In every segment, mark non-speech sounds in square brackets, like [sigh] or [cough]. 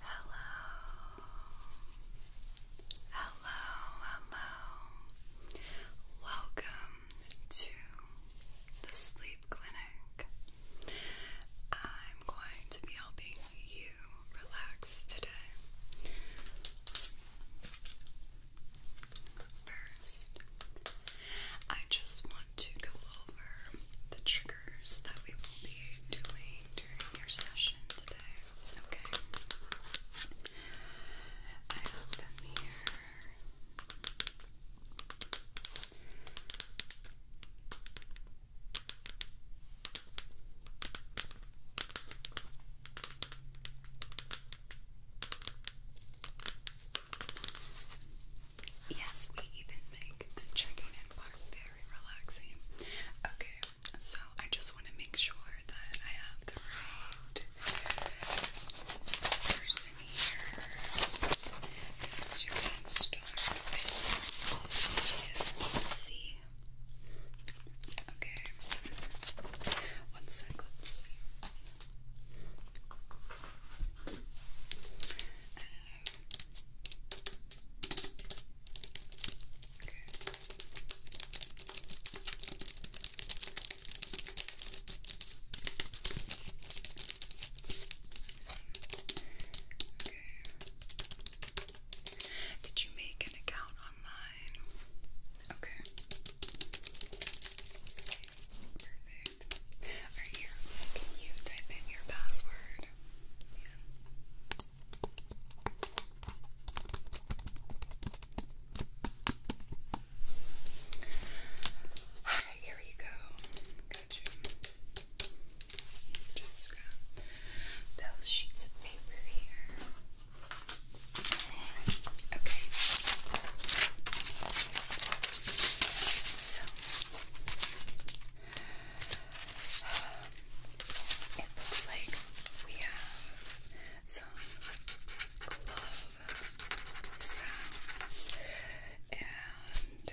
Hello, hello, hello. Welcome to the Sleep Clinic. I'm going to be helping you relax today first, I just want to go over the triggers that we will be doing during your session today. Okay? I have them here. Yes, we even make the checking in part very relaxing. Okay, so I just want to make sure that I have the right person here. Because you can start with C. Okay. One let's see. Did you make an account online? Okay. Perfect. here, can you type in your password? Alright, here you go. Got you. Just grab those sheets of paper here. Okay. So it looks like we have some glove sounds and uh,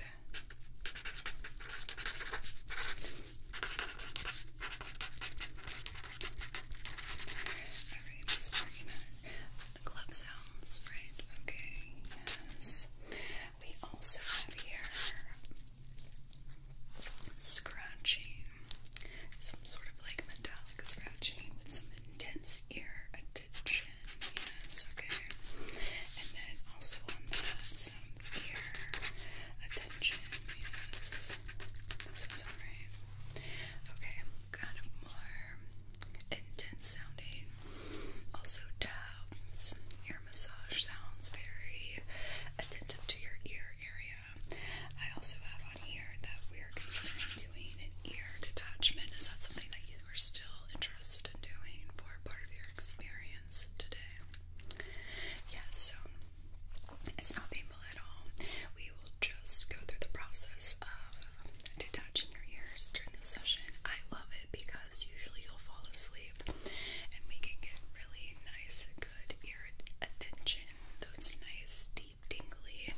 the glove sounds, right? Okay, yes. We also have here scratching, some sort of like metallic scratching with some intense ear attention. Yes, okay. And then also on that, some ear attention. Yes, that sounds alright. Okay, kind of more intense sounding also tabs, ear massage sounds very attentive to your ear area. I also have on here that we're considering doing an ear detachment. Is that something that you are still interested in doing for part of your experience today? Yes, so it's not painful at all. We will just go through the process of detaching your ears during this session. I love it because usually you'll fall asleep and we can get really nice, good ear attention, those nice, deep, tingly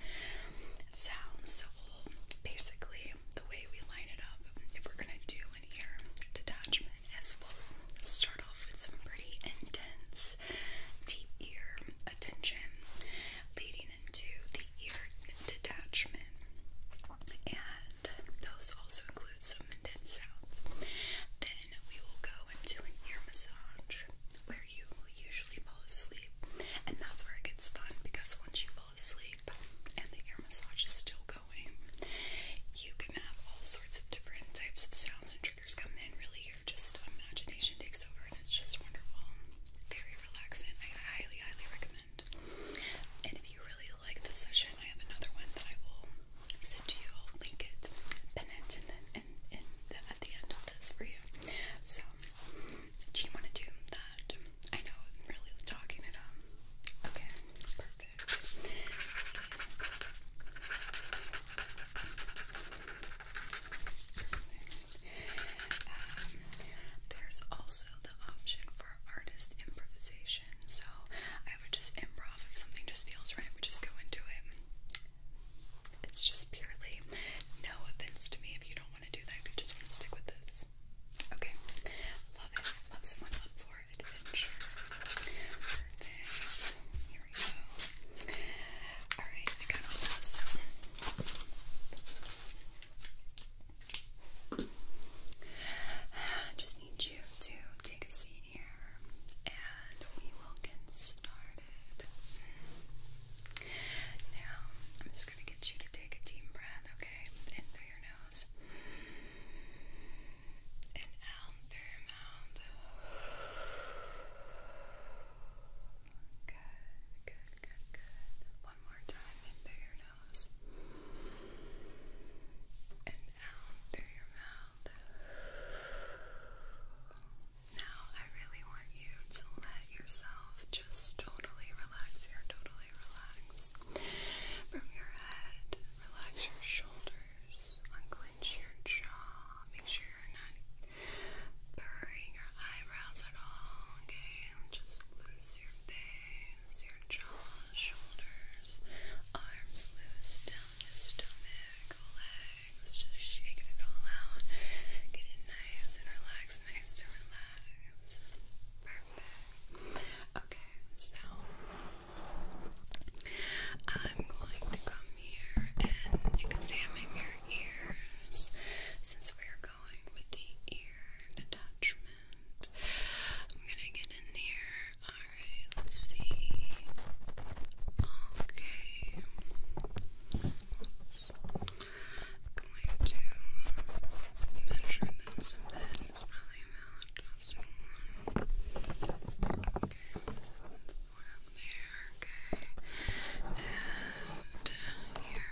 sounds. So, we basically, the way we line it up, if we're going to do an ear detachment, is we'll start off with some pretty intense, deep ear attention leading into the ear detachment, and those also include some intense sounds. Then we will go into an ear massage where you will usually fall asleep, and that's where it gets fun because once you fall asleep and the ear massage is still going, you can have all sorts of different types of sounds and triggers come in. Really, your just imagination takes over, and it's just wonderful. Very relaxing. I highly, highly recommend and if you really like this session, I have another one that I will send to you. I'll link it, and at the end of this for you. So, do you want to do that? I know really talking it up. Okay, Perfect. Um, there's also the option for artist improvisation. So I would just improv if something just feels right, we just go into it. It's just purely no offense to me if you don't want to do that, if you just want to stick with this. Okay. Love it. Love someone up for adventure. Perfect. Here we go. Alright, I got all those. I [sighs] just need you to take a seat here and we will get started. Now, I'm just going to get you to take a deep breath, okay? In through your nose and out through your mouth. Good, good, good, good. One more time in through your nose. And out through your mouth. Now I really want you to let yourself just totally relax. you totally relaxed. From your head, relax your shoulders, unclench your jaw, make sure you're not burning your eyebrows at all, okay? Just lose your your your jaw, shoulders, arms loose down your stomach, legs, just shaking it all out. Get it nice and relaxed, nice and relaxed. Perfect. Okay, so I'm going to come here and examine your ears since we're going with the ear attachment. I'm gonna get in here. Alright, let's see. Okay. I'm going to measure this Okay. And here.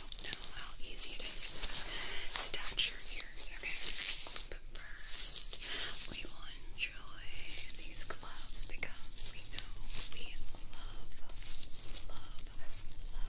don't know how easy it is to attach your ears, okay? But first, we will enjoy these gloves because we know we love, love, love, love.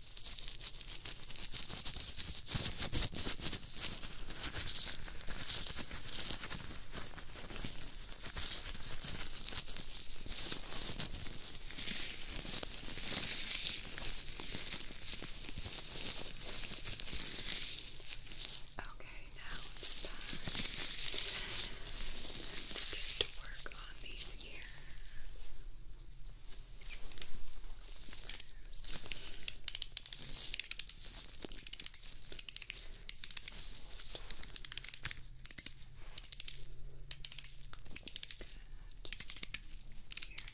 Okay, now it's time to get to work on these ears. Okay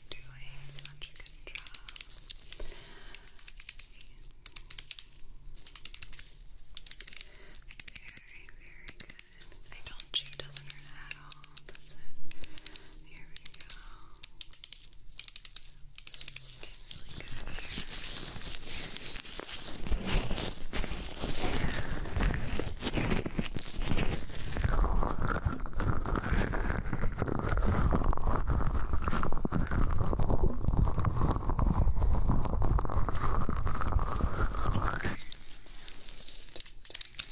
doing such a good job. Very, very good. I don't chew doesn't hurt at all. That's it. Here we go. This one's looking really good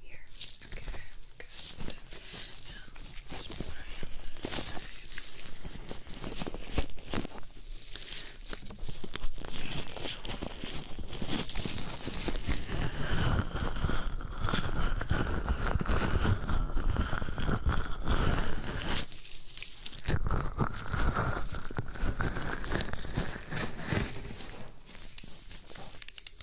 here. Okay, good. Now, let's try on this Okay.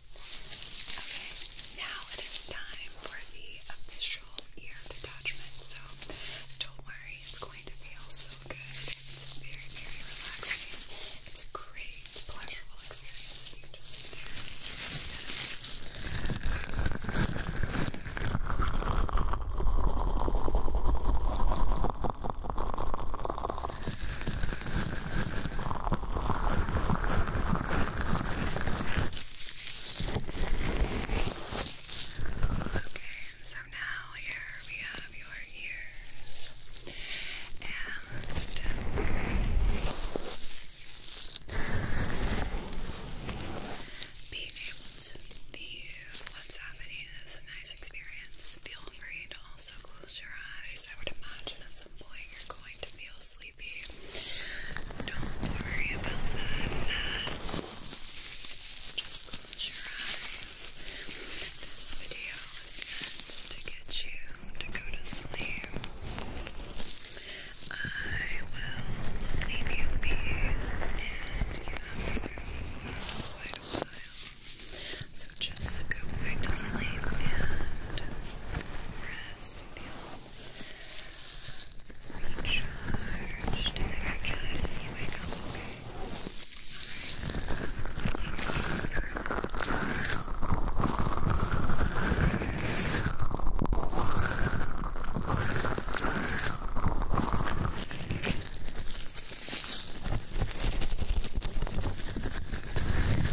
Okay, now it is time for the official ear detachment. So don't worry, it's going to feel so good. It's very, very relaxing. It's a great, pleasurable experience. You can just sit there. So now here we have your ears and um, being able to view what's happening is a nice experience. Feel also close your eyes. I would imagine at some point you're going to feel sleepy. Don't worry about that. Just close your eyes. This video is meant to get you to go to sleep. I will leave you be, and you have room for a while. So just go back to sleep and rest and feel recharged and when you wake up,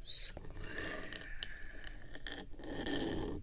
Circle. Square. Circle.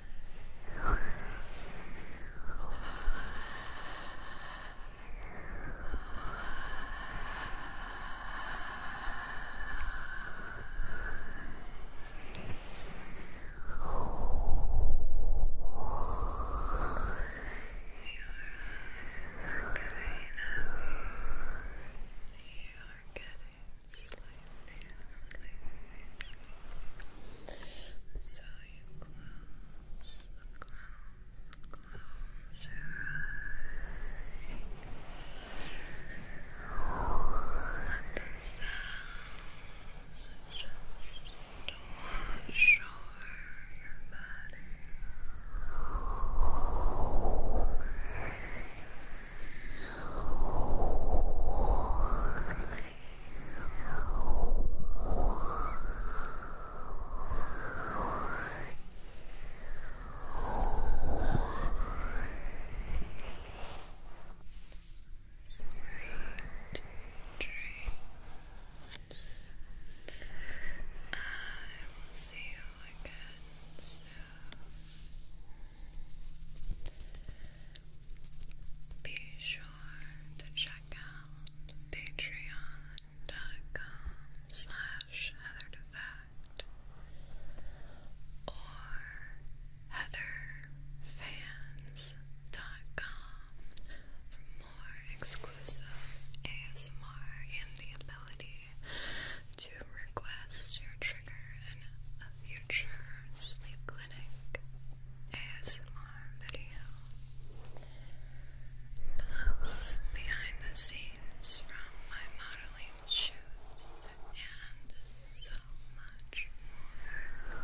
getting slightly, slightly, slightly. So you close, close, close your eyes. the sounds just wash over your body. Slight dreams. I will see you again soon. Be sure to check out patreon.com slash heatherdefact or heatherfans.com for more exclusive ASMR and the ability to request your trigger and a future sleep clinic ASMR video plus behind the scenes from my modeling shoots and so much more.